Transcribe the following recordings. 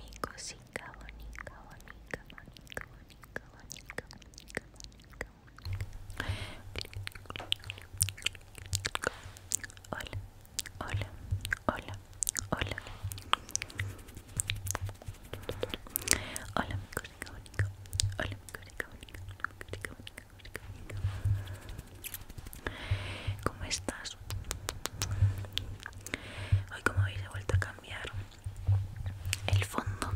Mi cosita bonita, bonita, bonita, bonita, bonita, bonita, bonita, bonita. Hola, hola, hola, hola. Hola, mi cosita bonita. Hola, mi cosita bonita, bonita, bonita, bonita, bonita. ¿Cómo estás? hoy como veis he vuelto a cambiar el fondo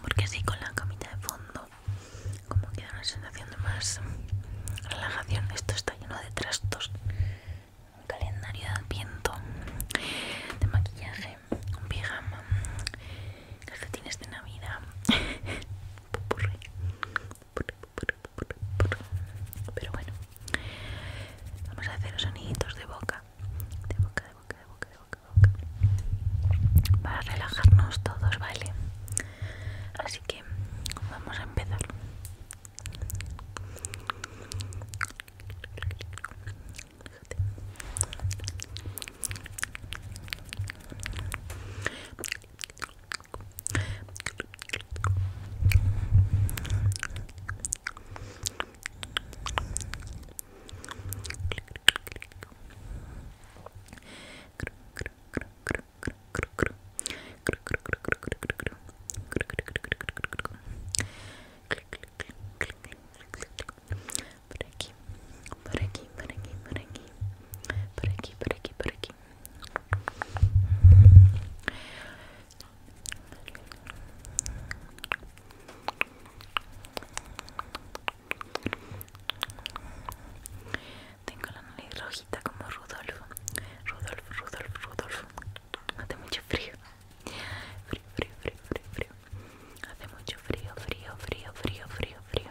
porque así con la camita de fondo como da una sensación de más relajación esto está lleno de trastos un calendario de viento, de maquillaje un pijama calcetines de navidad Pero bueno, vamos a hacer soniditos de boca, de boca, de boca, de boca, de boca, de boca, para relajarnos todos, ¿vale? Así que vamos a empezar. por aquí por aquí por aquí por aquí, por aquí, por aquí. Tengo la nariz rojita como Rudolfo. Rudolph, Rudolph, Rudolph. Hace mucho frío. Frío, frío, frío, frío, frío. Hace mucho frío, frío, frío, frío, frío, frío.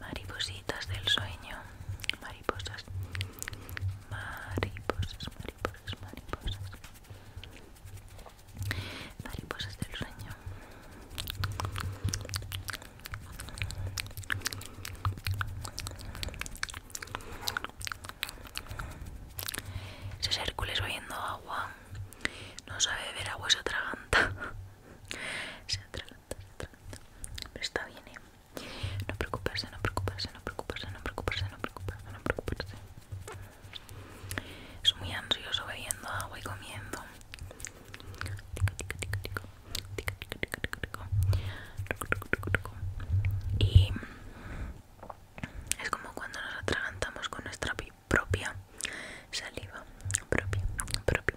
maripositas del sueño, mariposas, mariposas, mariposas, mariposas, mariposas del sueño. Ese Hércules bebiendo agua, no sabe beber agua, otra ganta. Se atraganta, se atraganta. está bien, ¿eh? No preocuparse, no preocuparse, no preocuparse, no preocuparse, no preocuparse, no preocuparse. Es muy ansioso bebiendo agua y comiendo. Y es como cuando nos atragantamos con nuestra propia saliva propia, propia,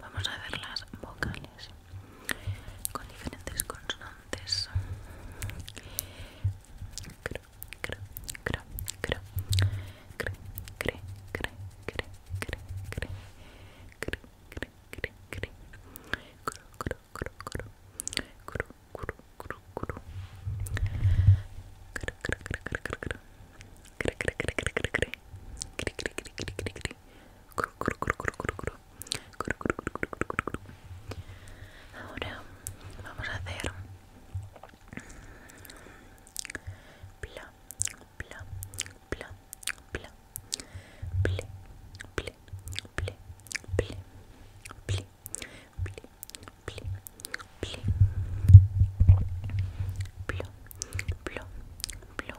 Vamos a ver las vocales con diferentes consonantes Ahora vamos a hacer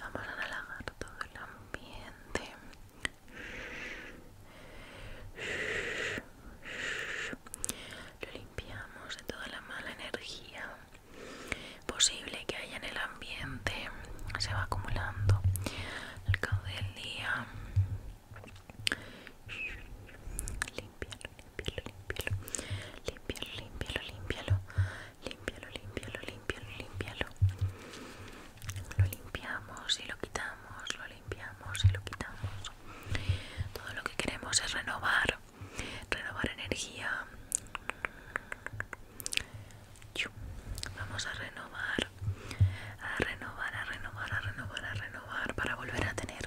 Vamos a relajar todo el ambiente. Lo limpiamos de toda la mala energía posible que haya en el ambiente. Se va acumulando al cabo del día. Limpiar, límpialo, límpialo, límpialo, límpialo, límpialo, límpialo, límpialo, límpialo. Lo limpiamos y lo quitamos, lo limpiamos y lo quitamos. Todo lo que queremos es renovar, renovar energía. Vamos a renovar, a renovar, a renovar, a renovar, a renovar para volver a tener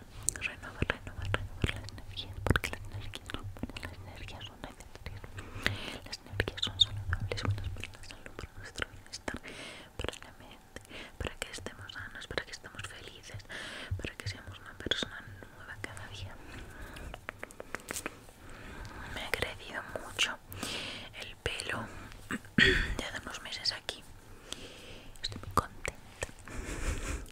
renovar, renovar, renovar, las energías porque las energías, son las energías son necesarias, las energías son saludables, buenas para la salud, para nuestro bienestar, para la mente, para que estemos sanos, para que estemos felices, para que seamos una persona nueva cada día. Me ha crecido mucho el pelo de unos meses aquí. Estoy muy contenta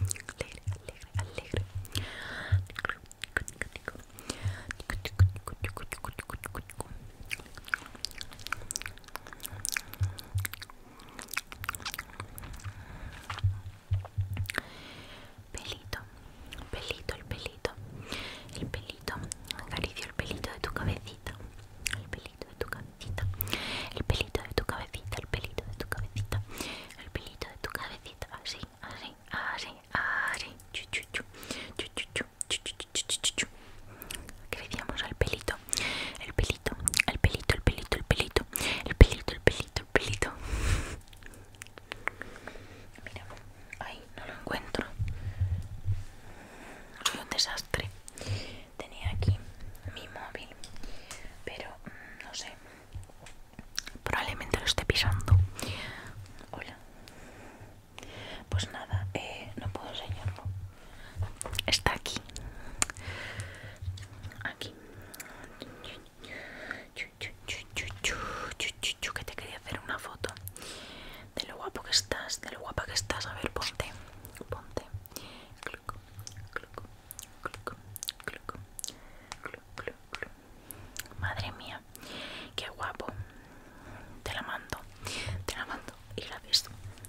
alegre, alegre, alegre. Pelito, pelito, el pelito, el pelito, acaricio el pelito de tu cabecita, el pelito de tu cabecita, el pelito de tu cabecita, el pelito de tu cabecita, el pelito de tu cabecita así, así, así, así, chuchu, Crecíamos al pelito, el pelito, el pelito, el pelito, el pelito, el pelito, el pelito, el pelito. Mira, ahí no lo encuentro. Soy un desastre. Tenía aquí mi móvil, pero no sé. Probablemente lo esté pisando. Hola. Pues nada, eh, no puedo enseñarlo. Está aquí. Aquí. Que te quería hacer una foto. De lo guapo que estás, de lo guapa que estás. A ver, ponte. Ponte. Madre mía, qué guapo. Te la mando, te la mando y la ves.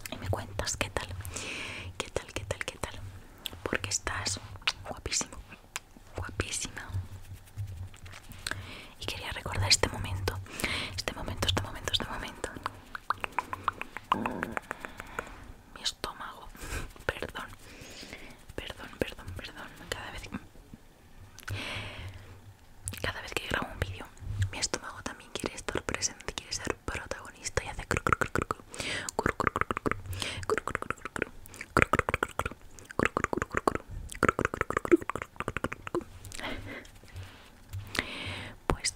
Y me cuentas qué tal, qué tal, qué tal, qué tal. Porque estás guapísimo, guapísima. Y quería recordar este momento, este momento, este momento, este momento estómago. perdón, perdón, perdón, perdón. Cada vez, que grabo un vídeo, mi estómago también quiere estar presente, quiere ser protagonista y hace cru pues,